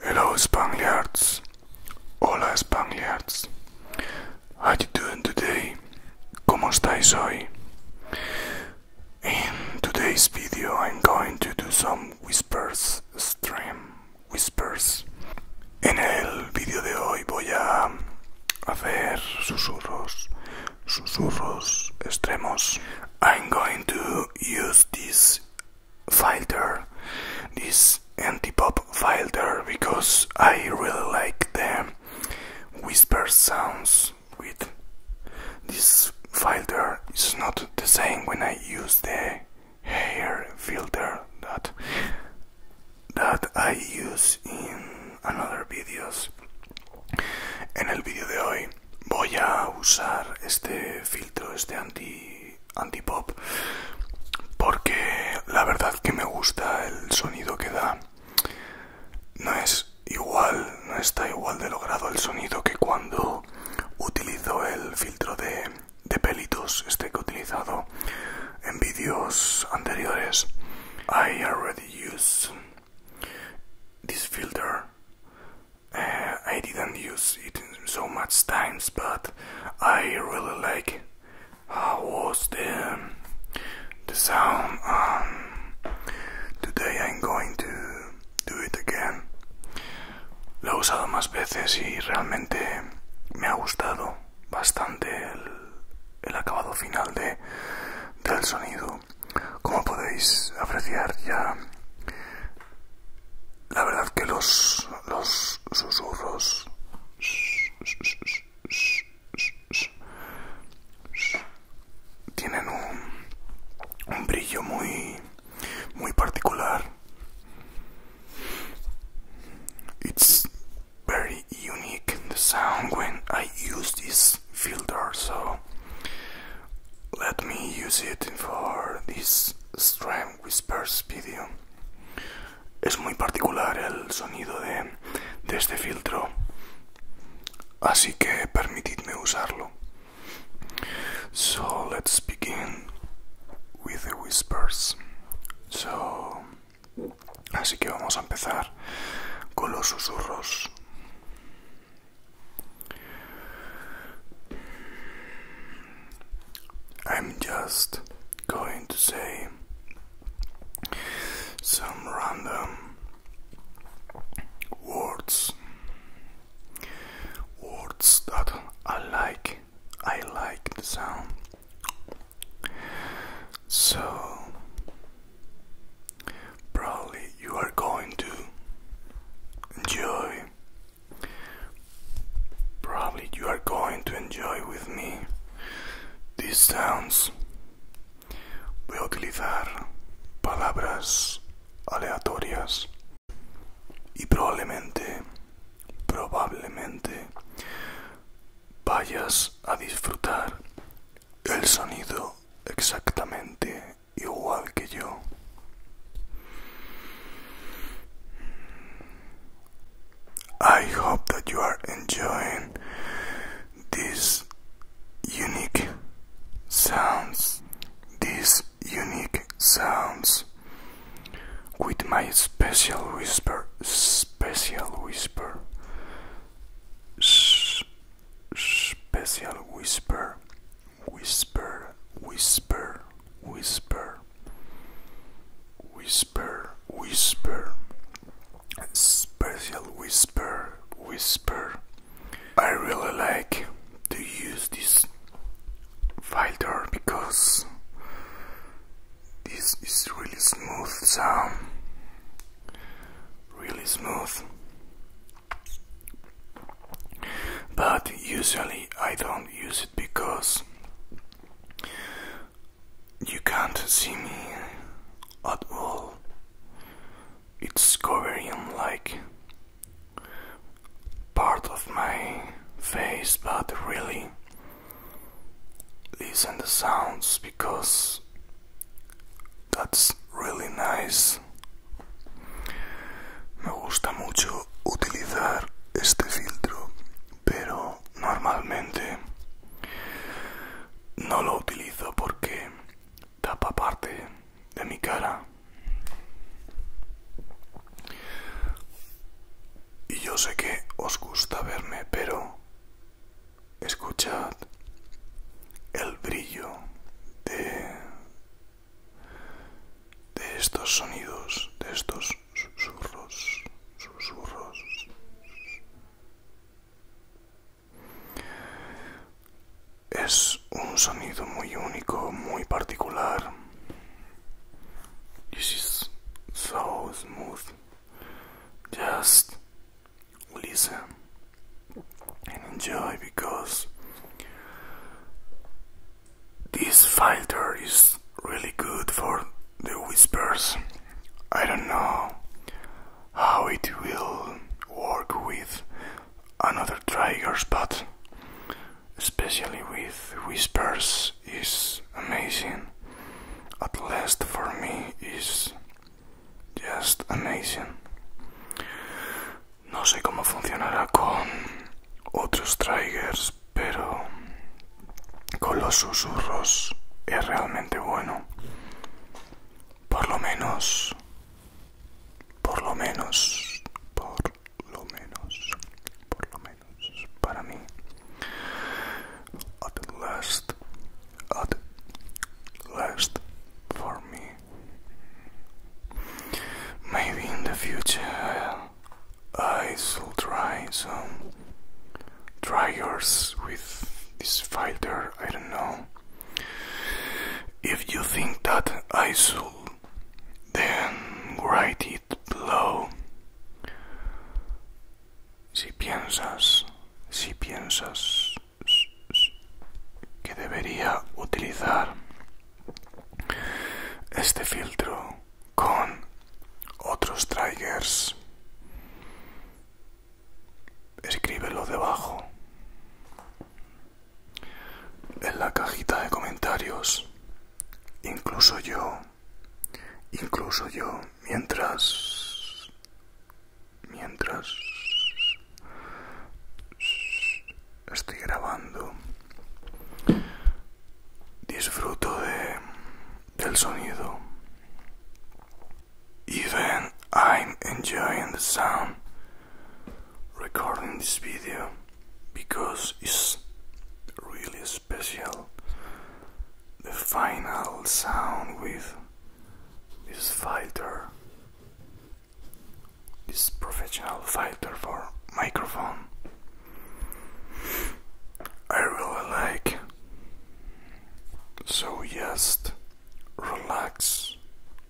Hello Spangliards, hola Spangliards, how you doing today? ¿Cómo estáis hoy? In today's video I'm going to do some whispers stream whispers. In el vídeo de hoy voy a hacer susurros, susurros extremos. I'm going to use this filter, this anti-pop filter, because I really like the whispers sounds with this filter. It's not the same when I use the hair filter that I use in another videos. En el vídeo de hoy voy a usar este filtro, este anti anti pop, porque la verdad que me gusta el sonido que da. No es igual, no está igual de logrado el sonido que cuando utilizo el filtro de de pelitos este utilizado en vídeos anteriores. I already use this filter. Eh, I didn't use it so much times, but I really like how was the the sound. Um, today I'm going to Do It Again. Lo he usado más veces y realmente me ha gustado bastante el, el acabado final de, del sonido. Como podéis apreciar ya, la verdad que los, los susurros tienen un, un brillo muy muy particular. It's very unique the sound when I use this filter, so let me use it for this Stream Whispers video. Es muy particular el sonido de este filtro, así que permitidme usarlo. So let's begin with the whispers. So, así que vamos a empezar con los susurros. I'm just going to say some random words words that I like. I like the sound. So probably you are going to enjoy. Probably you are going to enjoy with me these sounds. Voy palabras aleatorias y probablemente, probablemente vayas a disfrutar el sonido exactamente igual que yo. I hope that you are enjoying this unique sounds these unique sounds with my special whisper special whisper Sh special whisper whisper whisper whisper whisper whisper special whisper whisper I really like to use this filter because this is really smooth sound really smooth but usually I don't use it because you can't see me at all it's covering like part of my face, but really listen the sounds because that's really nice. Me gusta mucho utilizar este filtro, pero normalmente no lo utilizo porque tapa parte de mi cara. Y yo sé que os gusta verme, pero escuchad el brillo de, de estos sonidos, de estos susurros, susurros. It's a very unique, único, muy particular. It's so smooth. Just listen and enjoy because this filter is really good for the whispers. I don't know how it will work with Another trigger spot, especially with whispers, is amazing. At last for me, is just amazing. No sé cómo funcionará con otros triggers, pero con los susurros es realmente bueno. Por lo menos por lo menos por lo menos por lo menos para mí at last at last for me maybe in the future I shall try some dryers with this filter I don't know if you think that I should, then write it below. Si piensas, si piensas que debería utilizar este filtro con otros triggers escríbelo debajo en la cajita de comentarios incluso yo incluso yo mientras mientras estoy grabando disfruto de del sonido Even I'm enjoying the sound recording this video because it's really special. The final sound with this filter, this professional filter for microphone. I really like. So, yes. relax,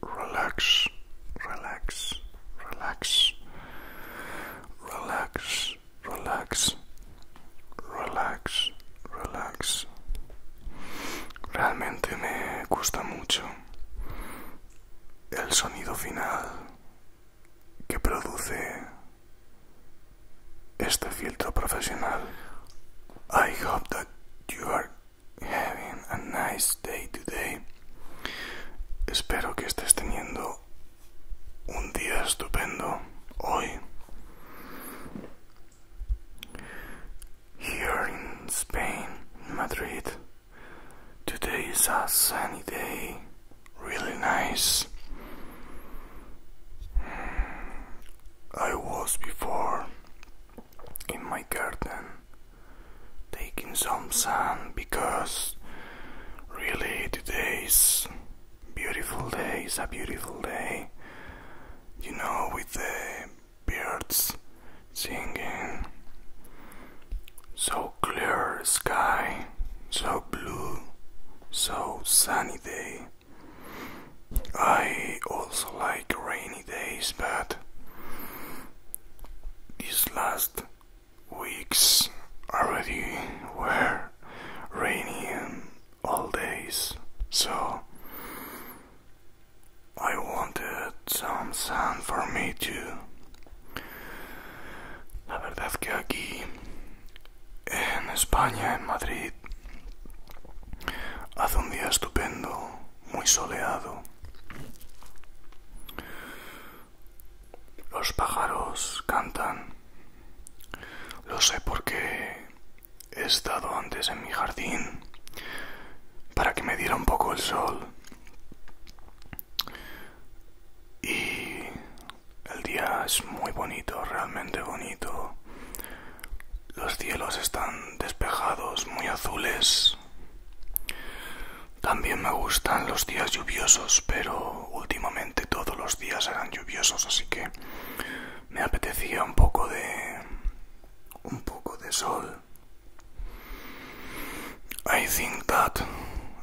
relax, relax, relax, relax, relax, relax, relax. Realmente me gusta mucho el sonido final que produce este filtro profesional. I hope that you are having a nice day today. Espero que estés teniendo un día estupendo hoy. Here in Spain, Madrid, today is a sunny day, really nice. I was before in my garden taking some sun because really today's beautiful day is a beautiful day you know with the birds singing so clear sky so blue so sunny day I also like rainy days, but these last weeks already were rainy and all days, so I wanted some sun for me too. La verdad que aquí en España, en Madrid, Hace un día estupendo, muy soleado. Los pájaros cantan. Lo sé porque he estado antes en mi jardín para que me diera un poco el sol. Y el día es muy bonito, realmente bonito. Los cielos están despejados, muy azules. También me gustan los días lluviosos, pero últimamente todos los días eran lluviosos, así que me apetecía un poco de un poco de sol. I think that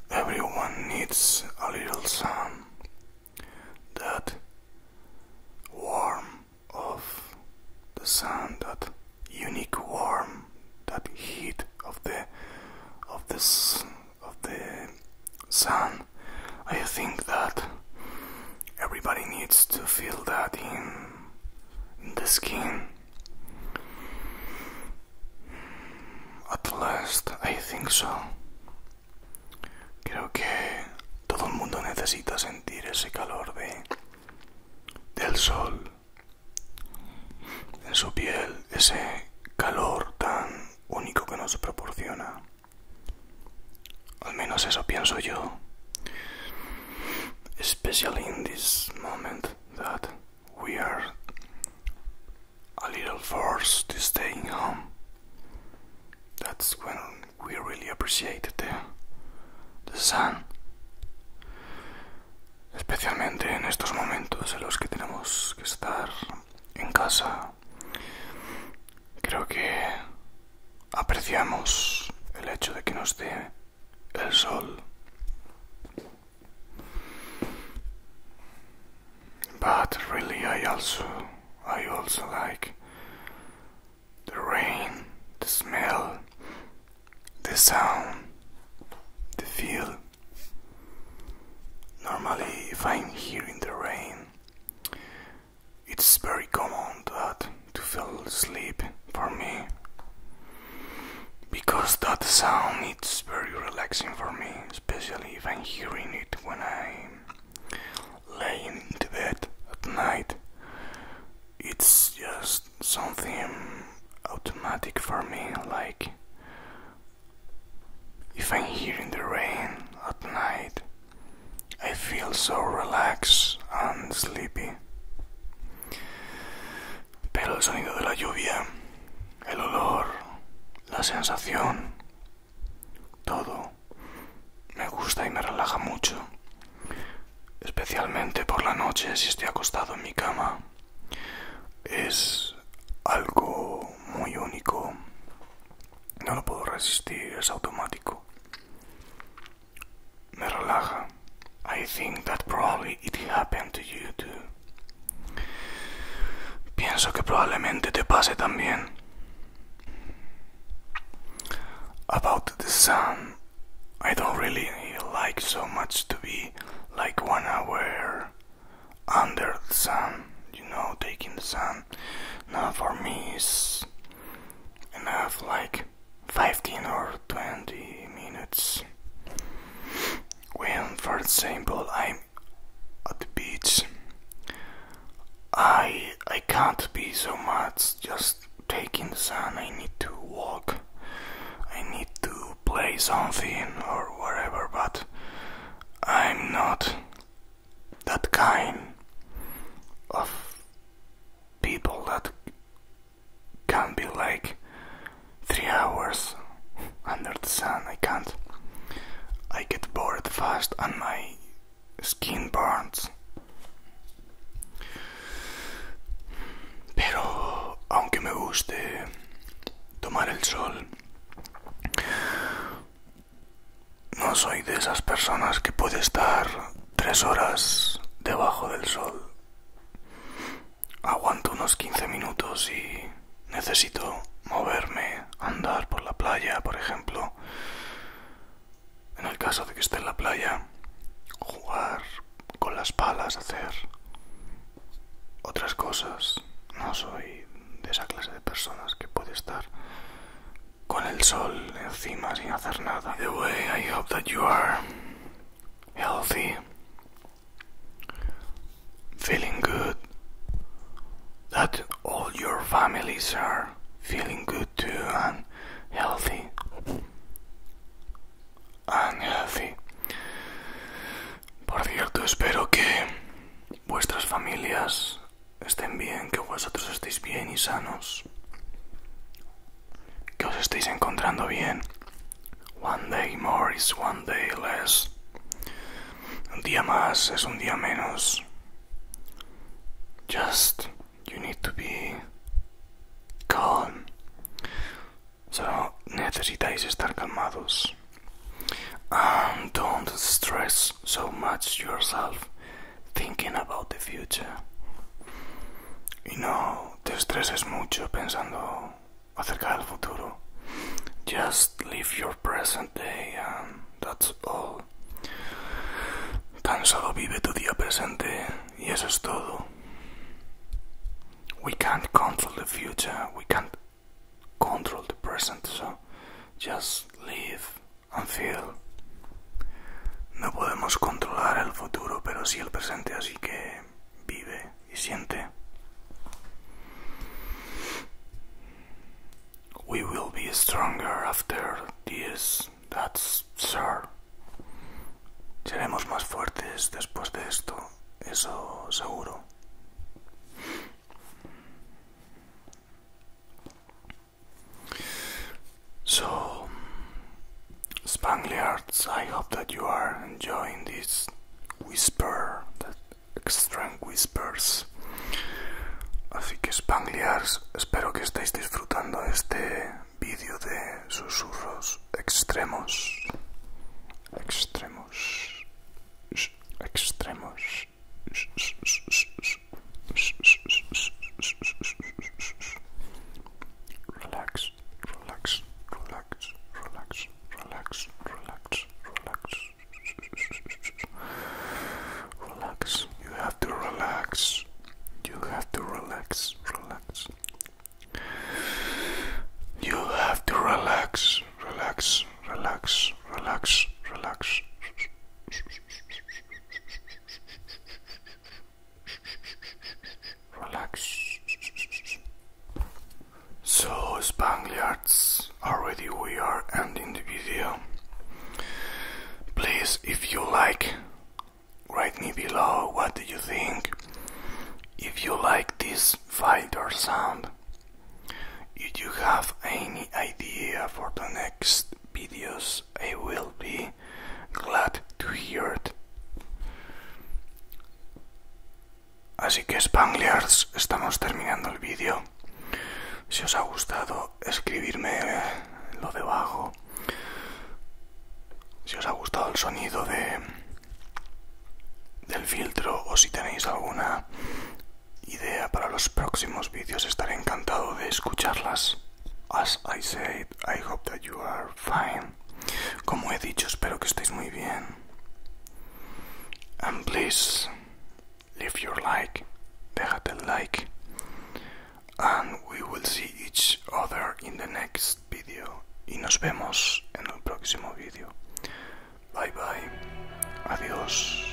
everyone needs a little sun. That warm of the sun, that unique warmth, that heat of the of this of the sun. I think that everybody needs to feel that in, in the skin. At last, I think so. Creo que todo el mundo necesita sentir ese calor de del sol en su piel, ese calor tan único que nos proporciona. Al menos eso pienso yo. Especially in this moment that we are a little forced to stay home. That's when we really appreciate the, the sun. Especialmente en estos momentos en los que tenemos que estar en casa. Creo que apreciamos el hecho de que nos dé el sol. But really I also I also like the rain, the smell, the sound, the feel. Normally, if I'm here in the rain, it's very common that to fall asleep for me because that sound is very relaxing for me, especially if I'm hearing it when I'm laying into bed at night. It's just something automatic for me, like if I'm here the rain at night, I feel so relaxed and sleepy. Pero el sonido de la lluvia, el olor, la sensación Todo me gusta y me relaja mucho, especialmente por la noche si estoy acostado en mi cama. Es algo muy único. No lo puedo resistir, es automático. Me relaja. I think that probably it happened to you too. Pienso que probablemente te pase también. About the sun, I don't really like so much to be like one hour under the sun, you know, taking the sun. Now for me it's enough like 15 or 20 minutes. When, for example, I am at the beach. I I can't be so much just taking the sun. I need to walk. I need to play something or whatever, but I'm not that kind of people that can be like three hours under the sun. I can't. I get bored fast and my skin burns. Pero aunque me guste tomar el sol, no soy de esas personas que puede estar tres horas debajo del sol. Aguanto unos quince minutos y necesito moverme, andar por la playa, por ejemplo. En el caso de que esté en la playa, jugar con las palas, hacer otras cosas. No soy de esa clase de personas que puede estar con el sol encima sin hacer nada. I hope that you are feeling good, that all your families are feeling good too and healthy. And healthy. Por cierto, espero que vuestras familias estén bien, que vosotros estéis bien y sanos, que os estéis encontrando bien. One day more is one day less. Un día más es un día menos. Just you need to be calm. Solo necesitáis estar calmados. And um, don't stress so much yourself thinking about the future. Y no te estreses mucho pensando just live your present day and that's all. Tan solo vive tu día presente y eso es todo. We can't control the future, we can't control the present, so just live and feel. No podemos controlar el futuro, pero sí el presente, así que vive. We will be stronger after this, that's sure. We'll be después de esto, eso seguro. So, Spangliards, I hope that you are enjoying this whisper that Extreme Whispers. Así que Spangliars, espero que estéis disfrutando este vídeo de susurros extremos. Extremos. Extremos. Relax, relax, relax, relax, relax, relax, relax, relax. Relax. You have to relax. You have to relax, relax. You have to relax, relax, relax, relax, relax. Relax. So Spangliards, already we are ending the video. Please, if you like, write me below what do you think. If you like this fight or sound, if you have any idea for the next videos, I will be glad to hear it. Así que Spangliards, estamos terminando el vídeo. Si os ha gustado, escribirme lo debajo. Si os ha gustado el sonido de del filtro o si tenéis alguna idea para los próximos vídeos, estaré encantado de escucharlas. As I said, I hope that you are fine. Como he dicho, espero que estéis muy bien. and please leave your like, déjate el like, and we will see each other in the next video. Y nos vemos en el próximo video. Bye bye. Adiós.